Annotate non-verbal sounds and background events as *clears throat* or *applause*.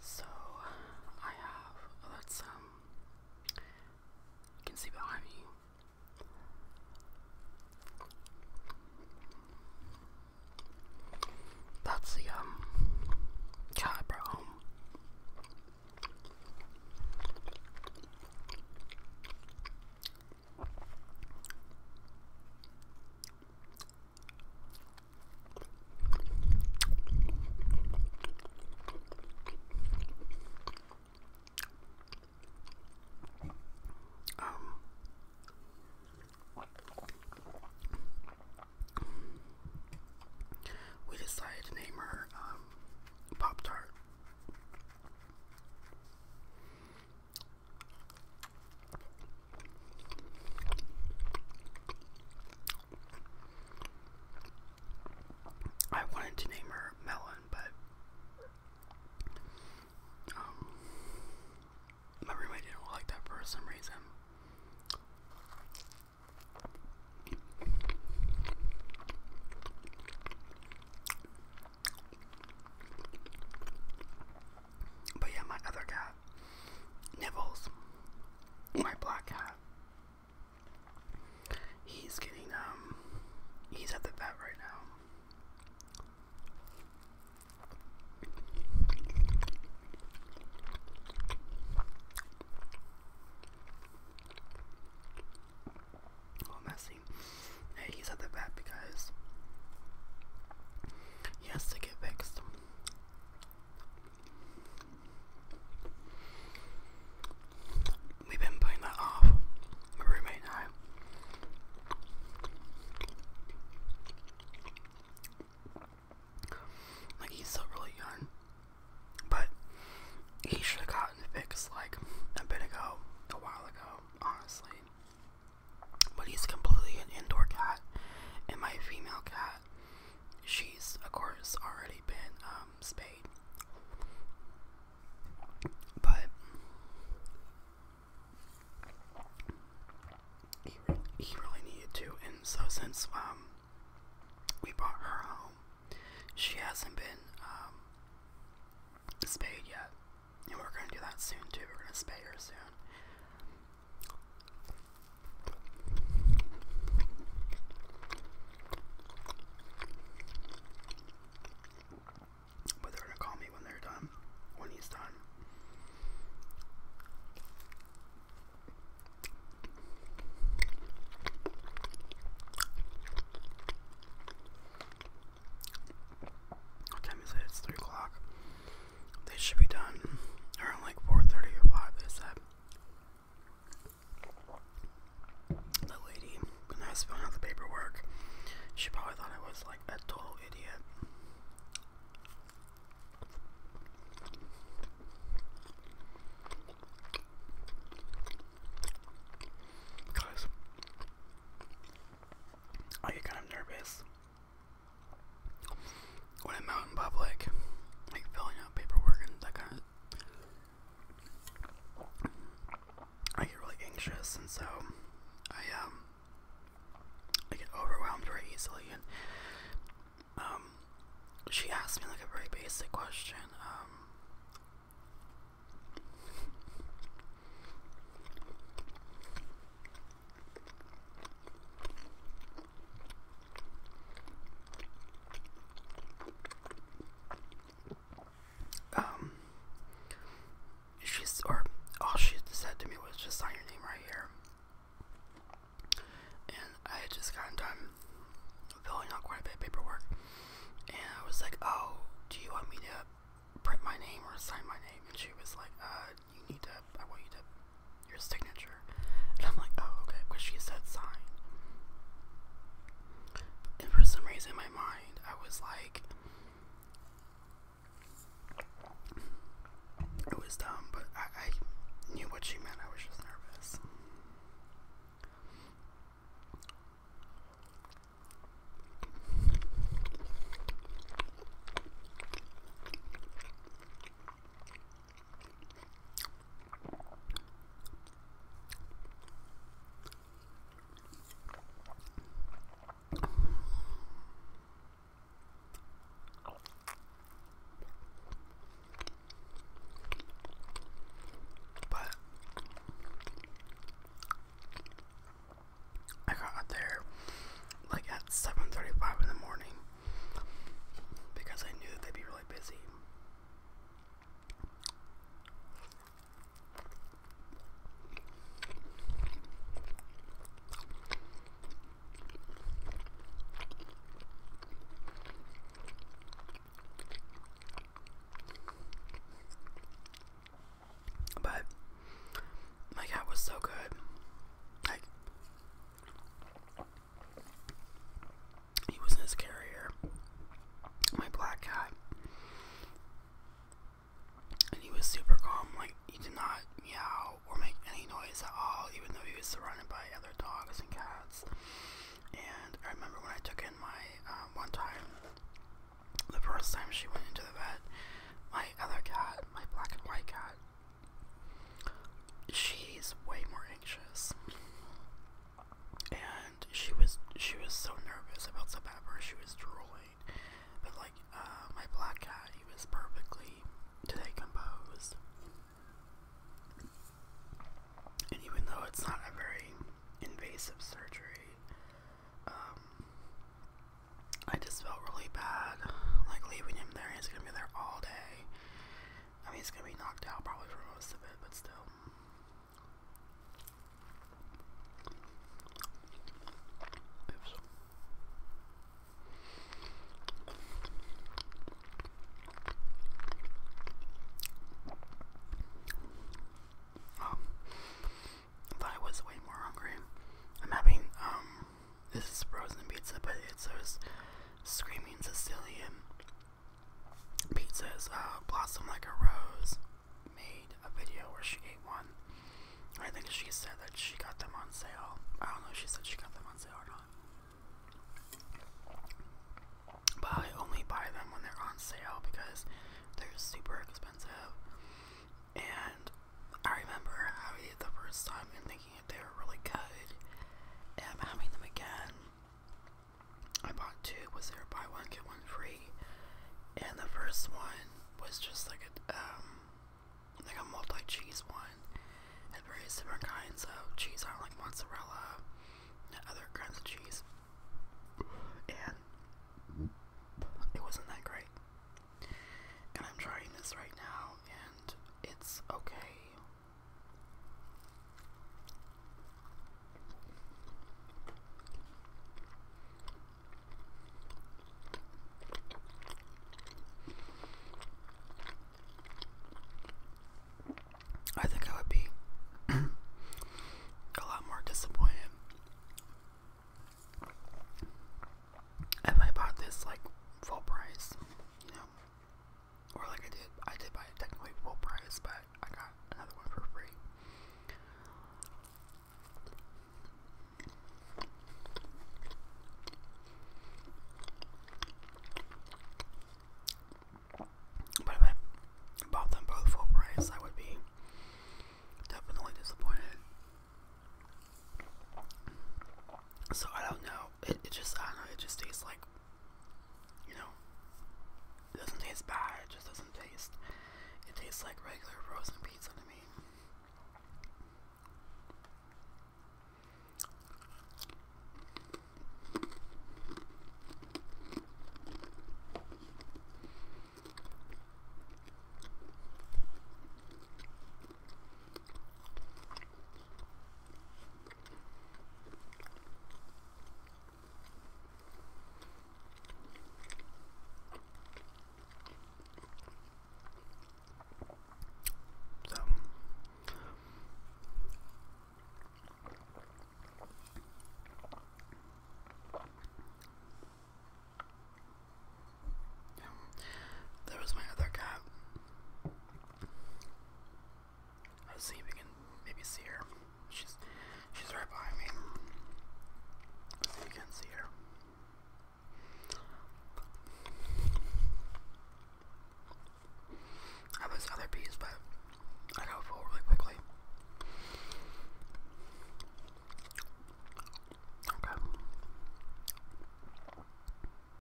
So I have that's um you can see behind me that's the um cat I brought home. Um, we decided to name her um, Pop Tart. I wanted to name her Melon, but um, my roommate didn't like that for some reason. But yeah, my other cat, Nibbles, my black cat, he's getting, um, he's at the vet right now. Oh, messy. he's at the vet because he has to get fixed. We've been putting that off, my roommate and Like, he's still really young, but he should have gotten fixed like a bit ago, a while ago, honestly. But he's completely an indoor cat, and my female cat she's, of course, already been um, spayed. But he, really needed to, and so since um, we brought her home, she hasn't been um, spayed yet. And we're going to do that soon, too. We're going to spay her soon. But they're gonna call me when they're done, when he's done. What time It's three o'clock. They should be done around like 4:30 or 5. They said. The lady, when I was out the paperwork, she probably thought I was like a total idiot. Because I get kind of nervous when I'm out in public, like filling out paperwork and that kind of, I get really anxious, and so I um I get overwhelmed very easily. And um, she asked me like a very basic question. Um, um, she's, or all she said to me was just sign your name right here. And I had just gotten done filling out quite a bit of paperwork. And I was like, oh, do you want me to print my name or sign my name? And she was like, uh, you need to, I want you to, your signature. And I'm like, oh, okay, because she said sign. And for some reason my mind, I was like, it was dumb, but I knew what she meant. I was just nervous. But I got out there like at 7:35 in the morning because I knew they'd be really busy. But my cat was so good. He was his carrier, my black cat, and he was super calm. Like he did not meow or make any noise at all, even though he was surrounded by other dogs and cats. And I remember when I took in my um, one time, the first time she went into the vet, my other cat, my black and white cat, she's way more anxious. And she was she was so nervous about the pepper, she was drooling. But like uh, my black cat, he was perfectly today composed. And even though it's not a very invasive surgery, um, I just felt really bad, like leaving him there. He's gonna be there all day, I mean, it's gonna be knocked out probably for most of it, but still. Oops. Oh. thought I was way more hungry. I'm having um this is frozen pizza, but it's those screaming Sicilian pizzas. Uh, Blossom Like a Rose made a video where she ate one. I think she said that she got them on sale. I don't know she said she got them on sale or not. But I only buy them when they're on sale because they're super expensive. And I remember how I ate the first time and thinking they were really good. And I'm having them again. I bought two. Was there buy one get one free? And the first one was just like a um, like a multi cheese one. Had various different kinds of cheese on, like mozzarella and other kinds of cheese. And it wasn't that great. And I'm trying this right now, and it's okay. I think I would be *clears throat* a lot more disappointed if I bought this like full price, you know or like I did, I did buy it technically full price, but I got another one for free. But if I bought them both full price, I would be definitely disappointed. So I don't know. It, just I don't know. It just tastes like you know. doesn't taste bad. just doesn't taste. It tastes like regular frozen pizza to me. So yeah. There was my other cat. Let's see if we can maybe see her. She's she's right behind me. Let's see if you can see her. I have other piece, but I gotta pull really quickly. Okay.